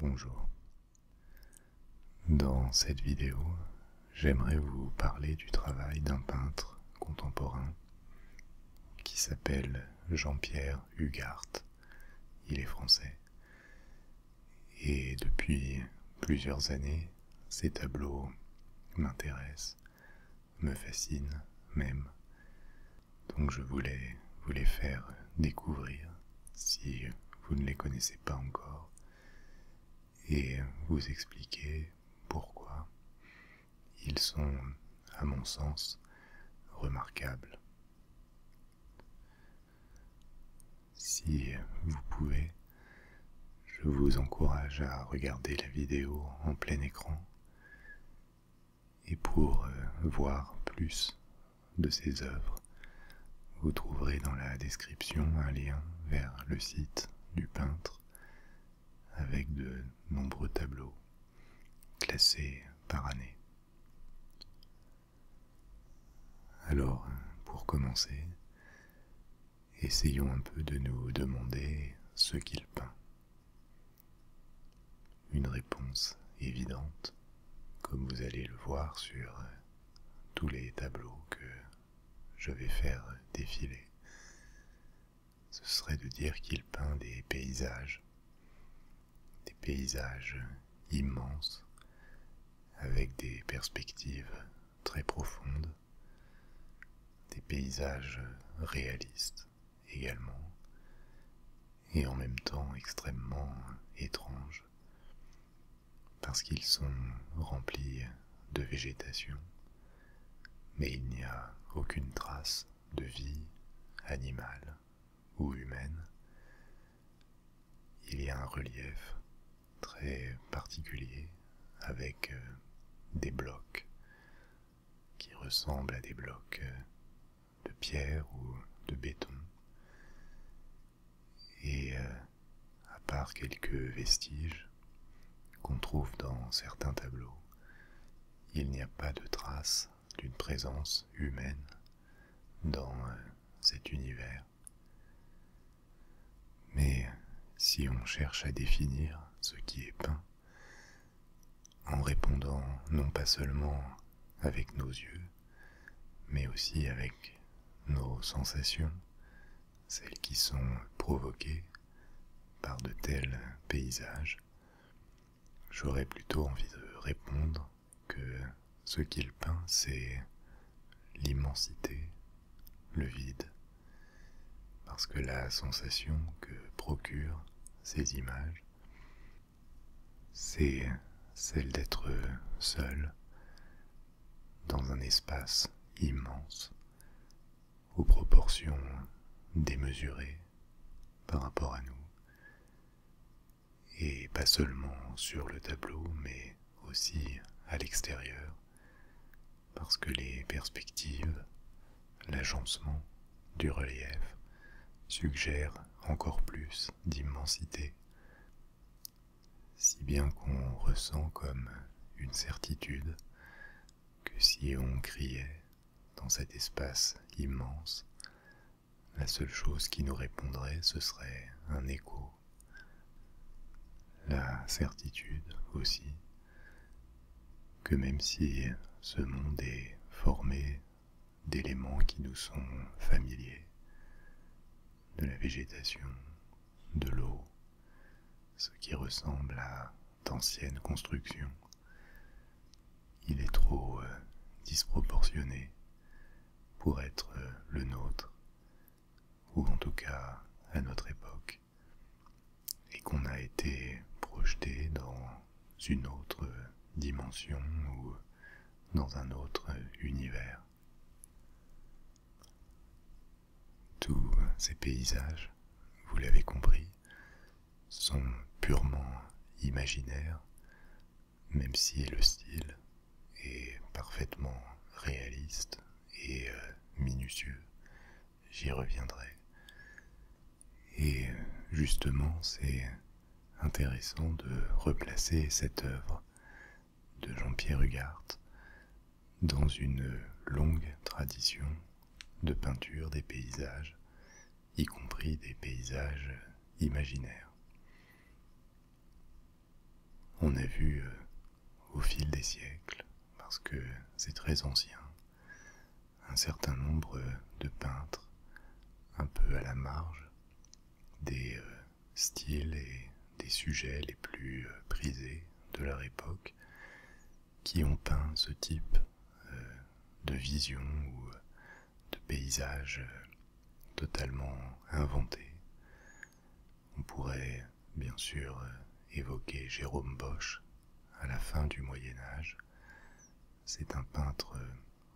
Bonjour. Dans cette vidéo, j'aimerais vous parler du travail d'un peintre contemporain qui s'appelle Jean-Pierre Hugart. Il est français. Et depuis plusieurs années, ses tableaux m'intéressent, me fascinent même. Donc je voulais vous les faire découvrir si vous ne les connaissez pas encore et vous expliquer pourquoi ils sont, à mon sens, remarquables. Si vous pouvez, je vous encourage à regarder la vidéo en plein écran et pour euh, voir plus de ses œuvres, vous trouverez dans la description un lien vers le site du peintre avec de nombreux tableaux classés par année. Alors, pour commencer, essayons un peu de nous demander ce qu'il peint. Une réponse évidente, comme vous allez le voir sur euh, tous les tableaux que je vais faire défiler, ce serait de dire qu'il peint des paysages, des paysages immenses, avec des perspectives très profondes, des paysages réalistes également, et en même temps extrêmement étrange parce qu'ils sont remplis de végétation, mais il n'y a aucune trace de vie animale ou humaine. Il y a un relief très particulier avec euh, des blocs qui ressemblent à des blocs euh, de pierre ou de béton, et euh, à part quelques vestiges qu'on trouve dans certains tableaux, il n'y a pas de trace d'une présence humaine dans euh, cet univers. Mais si on cherche à définir ce qui est peint, en répondant non pas seulement avec nos yeux, mais aussi avec nos sensations, celles qui sont provoquées par de tels paysages, j'aurais plutôt envie de répondre que ce qu'il peint, c'est l'immensité, le vide, parce que la sensation que procurent ces images c'est celle d'être seul dans un espace immense, aux proportions démesurées par rapport à nous, et pas seulement sur le tableau, mais aussi à l'extérieur, parce que les perspectives, l'agencement du relief suggère encore plus d'immensité, si bien qu'on ressent comme une certitude que si on criait dans cet espace immense, la seule chose qui nous répondrait, ce serait un écho. La certitude aussi que même si ce monde est formé d'éléments qui nous sont familiers, de la végétation, de l'eau, ce qui ressemble à d'anciennes constructions. Il est trop euh, disproportionné pour être euh, le nôtre, ou en tout cas à notre époque, et qu'on a été projeté dans une autre dimension ou dans un autre univers. Tous ces paysages, vous l'avez compris, sont purement imaginaires, même si le style est parfaitement réaliste et euh, minutieux. J'y reviendrai. Et euh, justement, c'est intéressant de replacer cette œuvre de Jean-Pierre Hugart dans une longue tradition de peinture des paysages, y compris des paysages imaginaires. On a vu euh, au fil des siècles, parce que c'est très ancien, un certain nombre de peintres un peu à la marge des euh, styles et des sujets les plus euh, prisés de leur époque qui ont peint ce type euh, de vision ou de paysage totalement inventé. On pourrait bien sûr évoquer Jérôme Bosch à la fin du Moyen Âge, c'est un peintre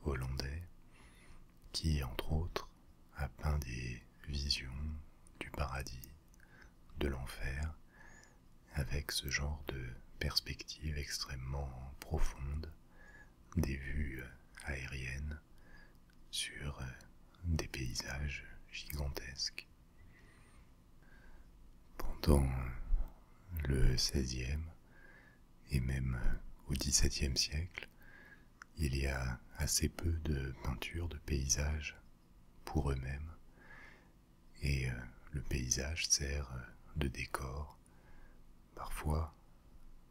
hollandais qui, entre autres, a peint des visions du paradis, de l'enfer, avec ce genre de perspective extrêmement profonde, des vues aériennes sur des paysages gigantesques. Pendant le XVIe, et même euh, au XVIIe siècle, il y a assez peu de peintures de paysages pour eux-mêmes, et euh, le paysage sert euh, de décor. Parfois,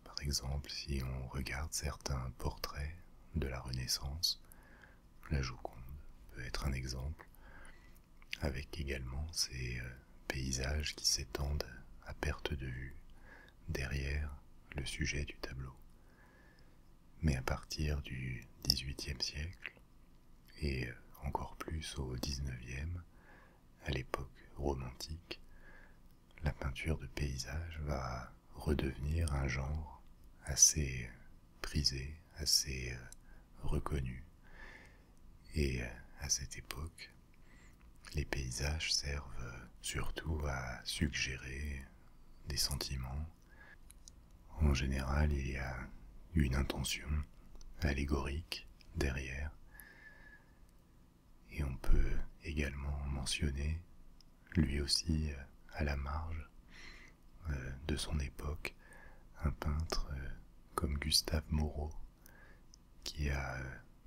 par exemple, si on regarde certains portraits de la Renaissance, la Joconde peut être un exemple, avec également ses paysages qui s'étendent à perte de vue derrière le sujet du tableau. Mais à partir du XVIIIe siècle, et encore plus au XIXe, à l'époque romantique, la peinture de paysage va redevenir un genre assez prisé, assez euh, reconnu. Et euh, à cette époque, les paysages servent surtout à suggérer des sentiments. En général, il y a une intention allégorique derrière. Et on peut également mentionner, lui aussi à la marge euh, de son époque, un peintre euh, comme Gustave Moreau, qui a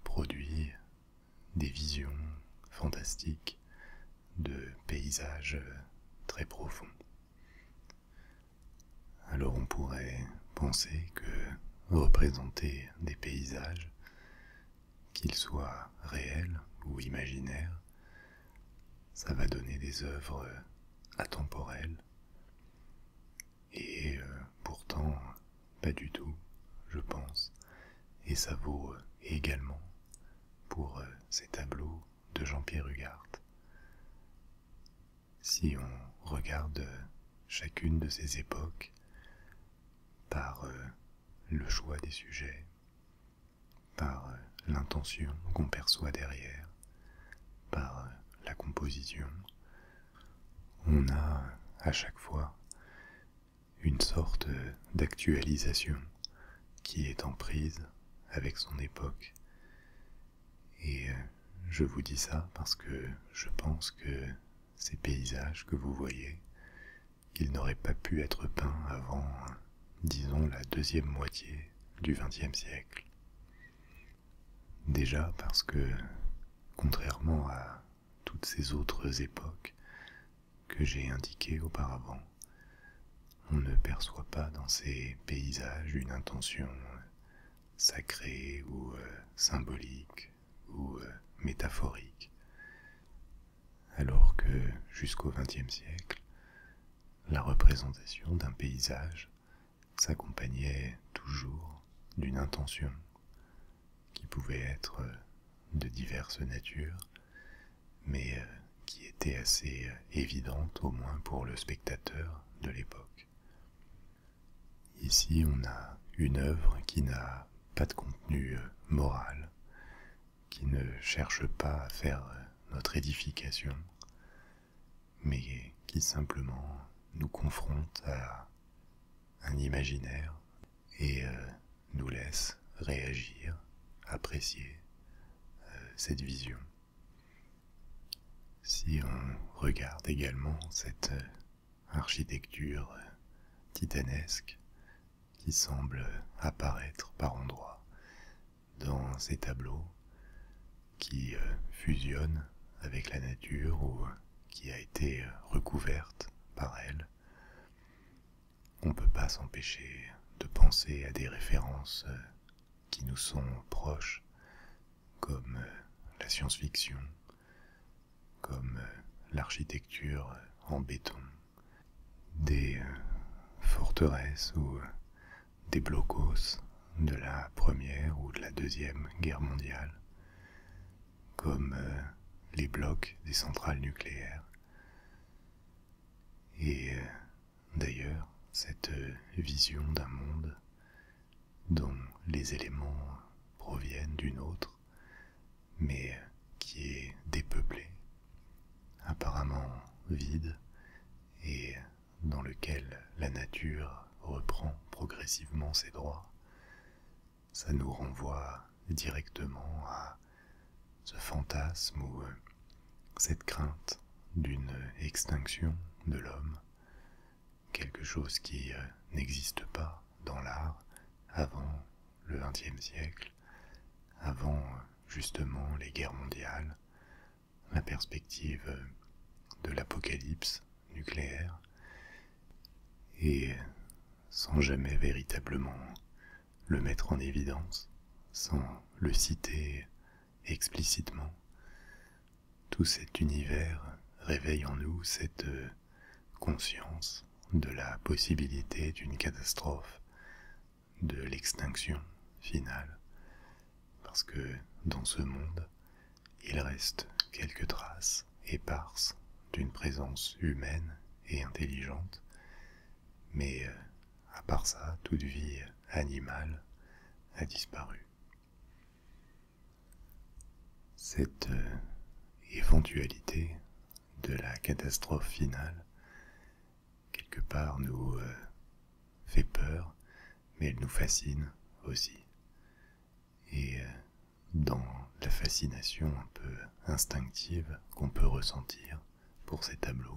produit des visions fantastiques de paysages très profonds. Alors on pourrait penser que représenter des paysages, qu'ils soient réels ou imaginaires, ça va donner des œuvres atemporelles et euh, pourtant pas du tout, je pense. Et ça vaut euh, également pour euh, ces tableaux de Jean-Pierre Hugard. Si on regarde chacune de ces époques par le choix des sujets, par l'intention qu'on perçoit derrière, par la composition, on a à chaque fois une sorte d'actualisation qui est en prise avec son époque. Et euh, je vous dis ça parce que je pense que ces paysages que vous voyez, qu'ils n'auraient pas pu être peints avant, disons, la deuxième moitié du XXe siècle. Déjà parce que contrairement à toutes ces autres époques que j'ai indiquées auparavant. On ne perçoit pas dans ces paysages une intention euh, sacrée ou euh, symbolique ou euh, métaphorique, alors que jusqu'au XXe siècle, la représentation d'un paysage s'accompagnait toujours d'une intention qui pouvait être de diverses natures, mais euh, qui était assez euh, évidente au moins pour le spectateur de l'époque. Ici, on a une œuvre qui n'a pas de contenu euh, moral, qui ne cherche pas à faire notre édification, mais qui simplement nous confronte à un imaginaire, et euh, nous laisse réagir, apprécier euh, cette vision. Si on regarde également cette euh, architecture titanesque qui semble apparaître par endroits dans ces tableaux qui fusionnent avec la nature ou qui a été euh, recouverte par elle, on ne peut pas s'empêcher de penser à des références euh, qui nous sont proches, comme euh, la science-fiction, comme l'architecture en béton, des forteresses ou des blocos de la Première ou de la Deuxième Guerre mondiale, comme euh, les blocs des centrales nucléaires. Et euh, d'ailleurs, cette euh, vision d'un monde dont les éléments proviennent d'une autre, mais qui est dépeuplé, apparemment vide, et dans lequel la nature reprend progressivement ses droits, ça nous renvoie directement à ce fantasme ou euh, cette crainte d'une extinction de l'homme, quelque chose qui euh, n'existe pas dans l'art avant le XXe siècle, avant euh, justement les guerres mondiales, la perspective de l'apocalypse nucléaire, et sans jamais véritablement le mettre en évidence, sans le citer explicitement, tout cet univers réveille en nous cette euh, conscience de la possibilité d'une catastrophe, de l'extinction finale, parce que dans ce monde, il reste quelques traces éparses d'une présence humaine et intelligente, mais euh, à part ça, toute vie animale a disparu. Cette euh, éventualité de la catastrophe finale, quelque part, nous euh, fait peur, mais elle nous fascine aussi et euh, dans la fascination un peu instinctive qu'on peut ressentir pour ces tableaux,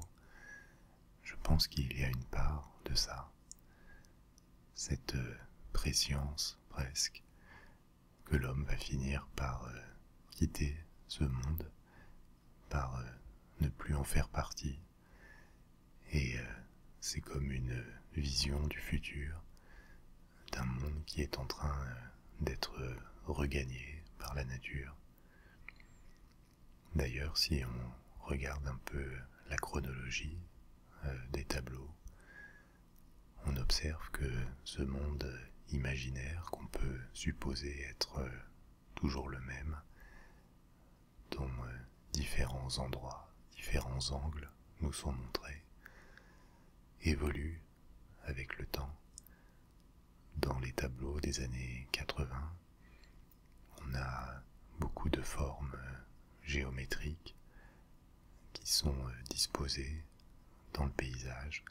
je pense qu'il y a une part de ça, cette euh, préscience presque que l'homme va finir par euh, quitter ce monde, par ne plus en faire partie, et c'est comme une vision du futur, d'un monde qui est en train euh, d'être euh, regagné par la nature. D'ailleurs, si on regarde un peu la chronologie euh, des tableaux, on observe que ce monde imaginaire qu'on peut supposer être toujours le même, dans différents endroits, différents angles nous sont montrés, évoluent avec le temps. Dans les tableaux des années 80, on a beaucoup de formes géométriques qui sont euh, disposées dans le paysage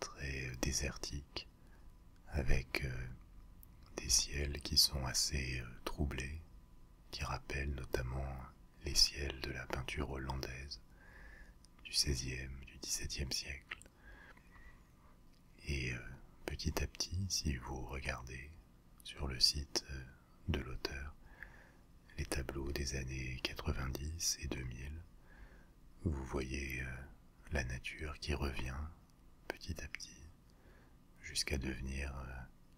très euh, désertique avec euh, des ciels qui sont assez troublés, qui rappellent notamment les ciels de la peinture hollandaise du XVIe, du XVIIe siècle. Et euh, petit à petit, si vous regardez sur le site euh, de l'auteur les tableaux des années 90 et 2000, vous voyez euh, la nature qui revient petit à petit jusqu'à devenir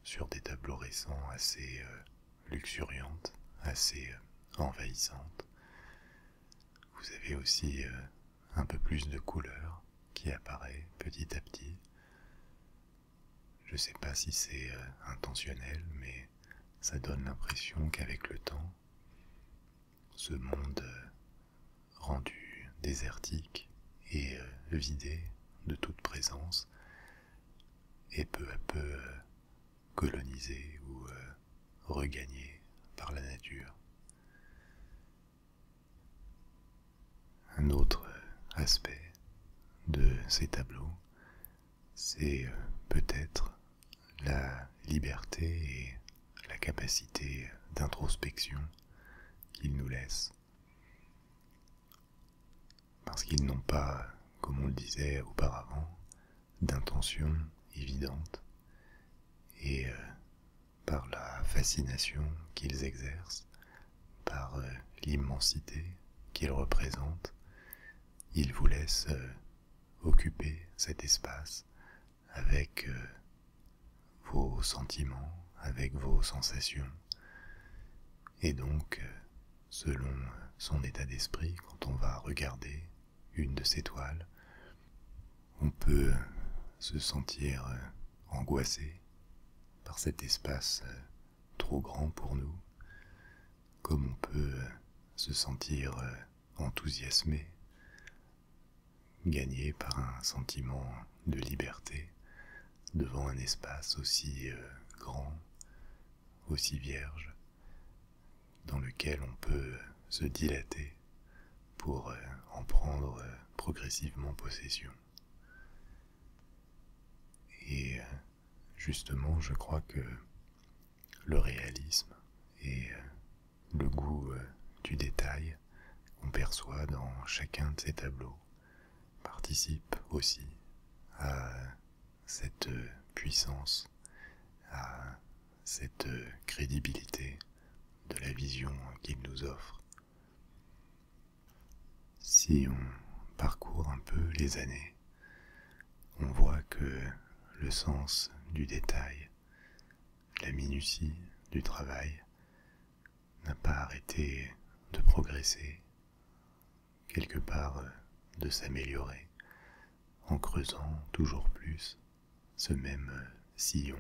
sur des tableaux récents assez luxuriante, assez euh, envahissante. Vous avez aussi euh, un peu plus de couleur qui apparaît petit à petit. Je ne sais pas si c'est euh, intentionnel, mais ça donne l'impression qu'avec le temps, ce monde rendu désertique et vidé de toute présence et peu à peu euh, colonisé ou euh, regagné par la nature. Un autre euh, aspect de ces tableaux, c'est peut-être la liberté et la capacité d'introspection qu'ils nous laissent. Parce qu'ils n'ont pas, comme on le disait auparavant, d'intention évidente, et euh, par la fascination qu'ils exercent, par euh, l'immensité qu'ils représentent, ils vous laissent euh, occuper cet espace avec vos sentiments, avec vos sensations, et donc selon son état d'esprit quand on va regarder une de ces toiles. On peut se sentir euh, angoissé par cet espace euh, trop grand pour nous, comme on peut euh, se sentir enthousiasmé, gagné par un sentiment de liberté devant un espace aussi euh, grand, aussi vierge, dans lequel on peut euh, se dilater pour euh, en prendre progressivement possession. Et justement, je crois que le réalisme et le goût du détail qu'on perçoit dans chacun de ces tableaux participe aussi à cette puissance, à cette crédibilité de la vision qu'il nous offre. Si on parcourt un peu les années, on voit que le sens du détail, la minutie du travail n'a pas arrêté de progresser, quelque part euh, de s'améliorer en creusant toujours plus ce même euh, sillon.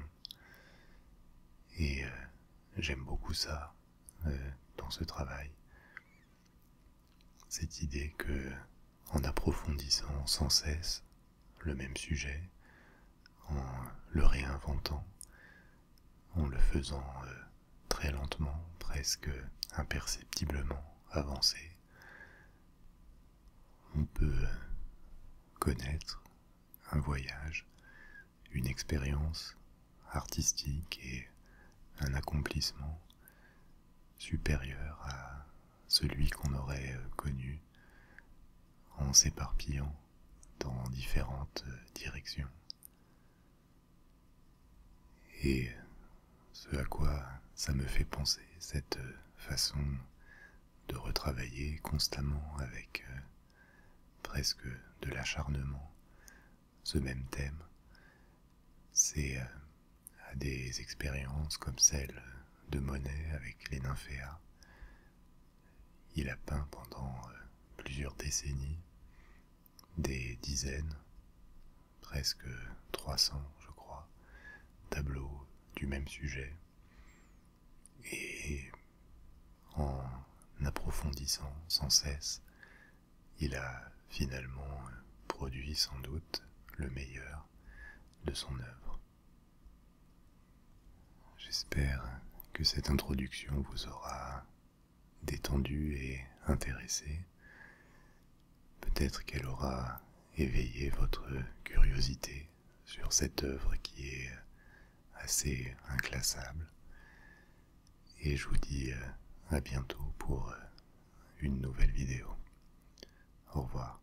Et euh, j'aime beaucoup ça dans ce travail. Cette idée que en approfondissant sans cesse le même sujet, en le réinventant, en le faisant très lentement, presque imperceptiblement avancé, on peut connaître un voyage, une expérience artistique et un accomplissement supérieur à celui qu'on aurait connu en s'éparpillant dans différentes directions. Et ce à quoi ça me fait penser, cette euh, façon de retravailler constamment avec euh, presque de l'acharnement ce même thème, c'est euh, à des expériences comme celle de Monet avec les nymphéas. Il a peint pendant plusieurs décennies des dizaines, presque 300 je crois, tableaux du même sujet. Et en approfondissant sans cesse, il a finalement produit sans doute le meilleur de son œuvre. J'espère que cette introduction vous aura détendue et intéressée, peut-être qu'elle aura éveillé votre curiosité sur cette œuvre qui est assez inclassable. Et je vous dis euh, à bientôt pour euh, une nouvelle vidéo. Au revoir.